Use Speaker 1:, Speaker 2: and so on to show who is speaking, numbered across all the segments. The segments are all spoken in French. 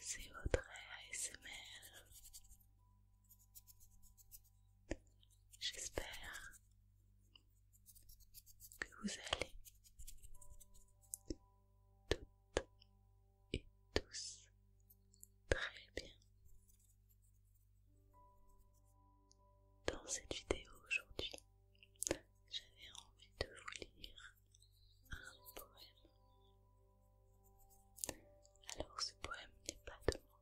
Speaker 1: C'est votre ASMR. J'espère que vous allez toutes et tous très bien. Dans cette vidéo aujourd'hui, j'avais envie de vous lire un poème. Alors ce poème n'est pas de moi.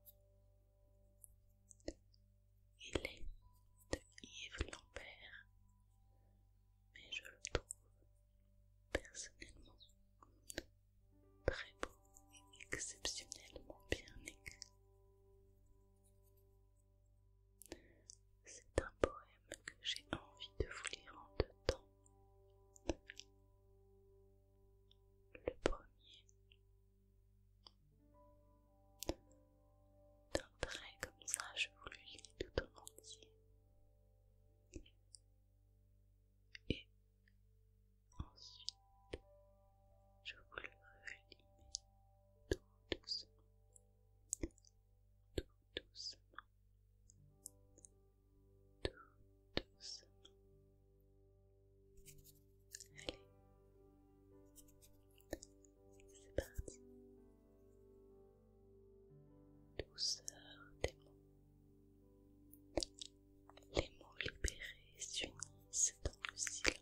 Speaker 1: Il est de Yves Lambert, mais je le trouve personnellement très beau et exceptionnellement bien écrit. C'est un poème que j'ai envie de vous lire en deux temps. Le premier, d'un trait comme ça, je vous le lis tout en entier. Et ensuite, je vous le relis tout doucement tout doucement, tout doucement. Allez, c'est parti. Douceur des mots. Les mots libérés s'unissent dans le silence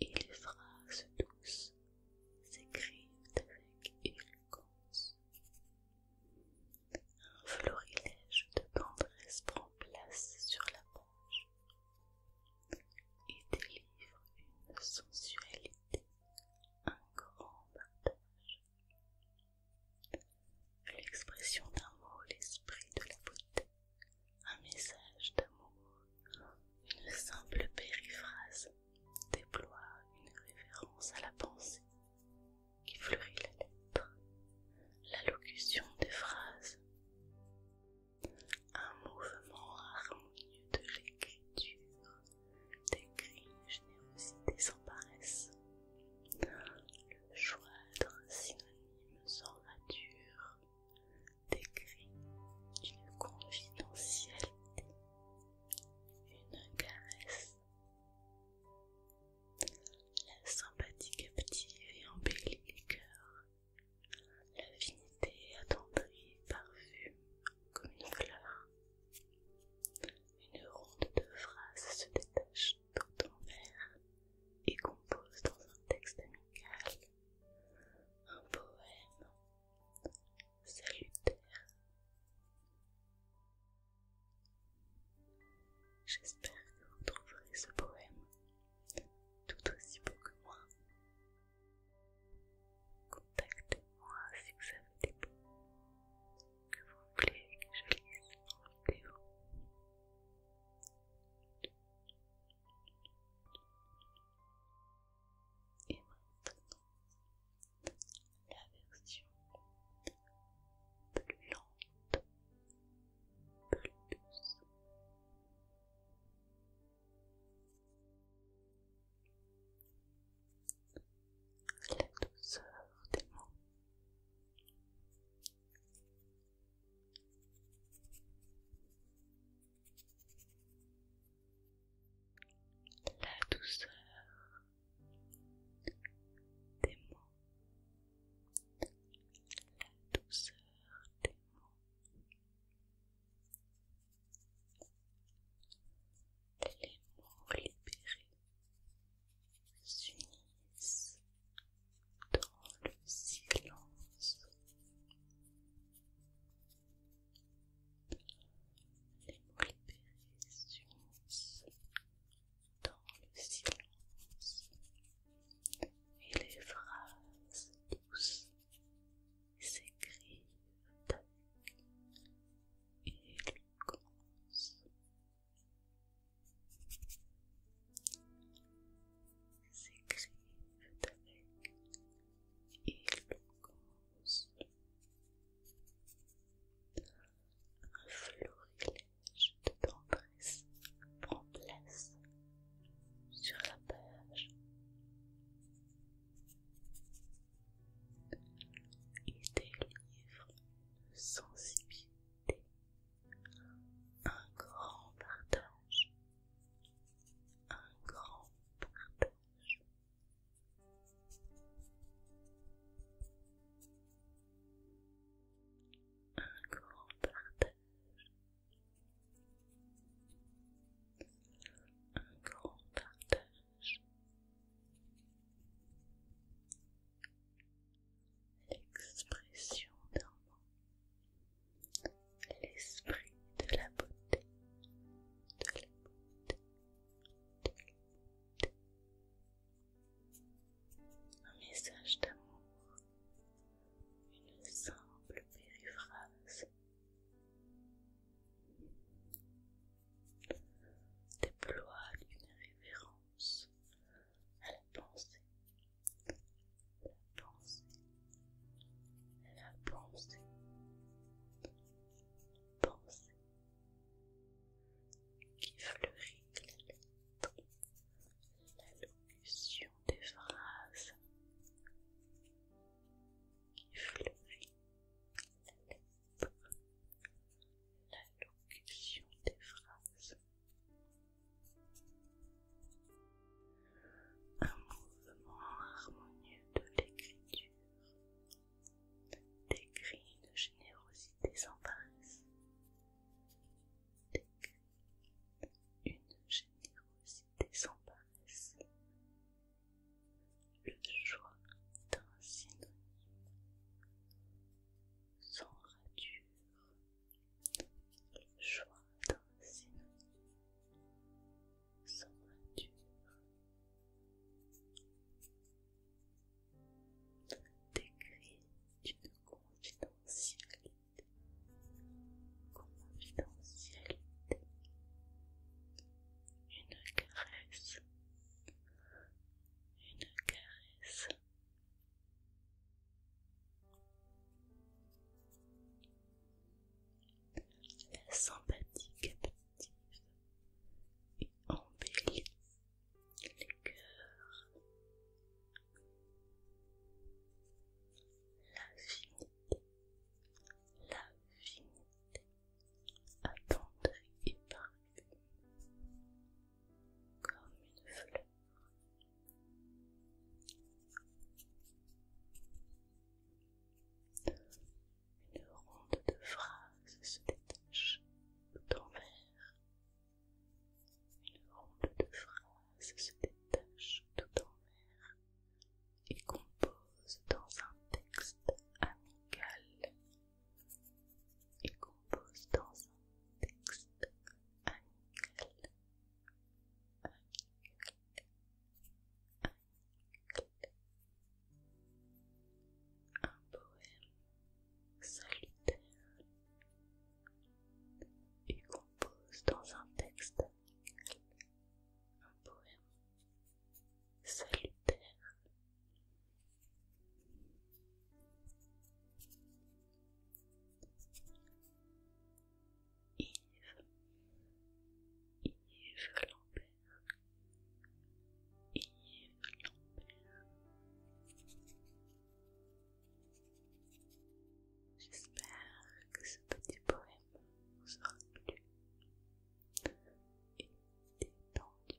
Speaker 1: et les phrases douces s'écrivent avec éloquence. Un florilège de tendresse prend place sur la page et délivre une sensualité, un grand partage. L'expression d'un mot, l'esprit de la beauté, un message d'amour, une simple périphrase déploie une référence à la pensée qui fleurit la lettre, l'allocution des phrases, un mouvement harmonieux de l'écriture décrit une générosité sans paresse, le choix d'un synonyme sans nature décrit une confidentialité, une caresse. La sympathie captive et embellit les cœurs. L'affinité attendrie parfume comme une fleur. Une ronde de phrases se détache tout envers et compose dans un texte amical un poème salutaire. J'espère que vous trouverez ce poème tout aussi beau que moi. Contactez-moi si vous avez des mots que vous voulez que je lise en vidéo. Et maintenant, la version plus lente, plus douce. La douceur des mots, la douceur des mots, la douceur des mots, les mots libérés s'unissent dans le silence. Les mots libérés s'unissent dans le silence et les phrases douces s'écrivent avec éloquence s'écrivent avec éloquence. Un florilège de tendresse prend place sur la page. Et délivre de sensibilité un grand partage, un grand partage. Un grand partage. Un grand partage l'expression d'un mot, l'esprit de la beauté, de la beauté, de la beauté. Un message d'amour, une simple périphrase. Déploie une révérence à la pensée, la pensée, la pensée, la pensée qui fleurit la lettre, l'allocution des phrases qui fleurit la locution des phrases, un mouvement harmonieux de l'écriture, des cris de générosité une générosité sans paresse, le choix d'un synonyme sans rature, le choix d'un synonyme sans rature. Décrit d'une confidentialité, confidentialité, une caresse une caresse. La sympathie captive et embellit les cœurs. la l'infinité, attendre, et comme une fleur. Une ronde de phrases se détache tout en mer. Une ronde de phrases se détache tout en mer. Il compose dans un texte amical. Il compose dans un texte amical. amical. Un poème salutaire. Il compose dans un texte amical. Un poème salutaire. Yves, Yves Lambert, Yves Lambert. J'espère que ce petit poème vous inclus et détendu.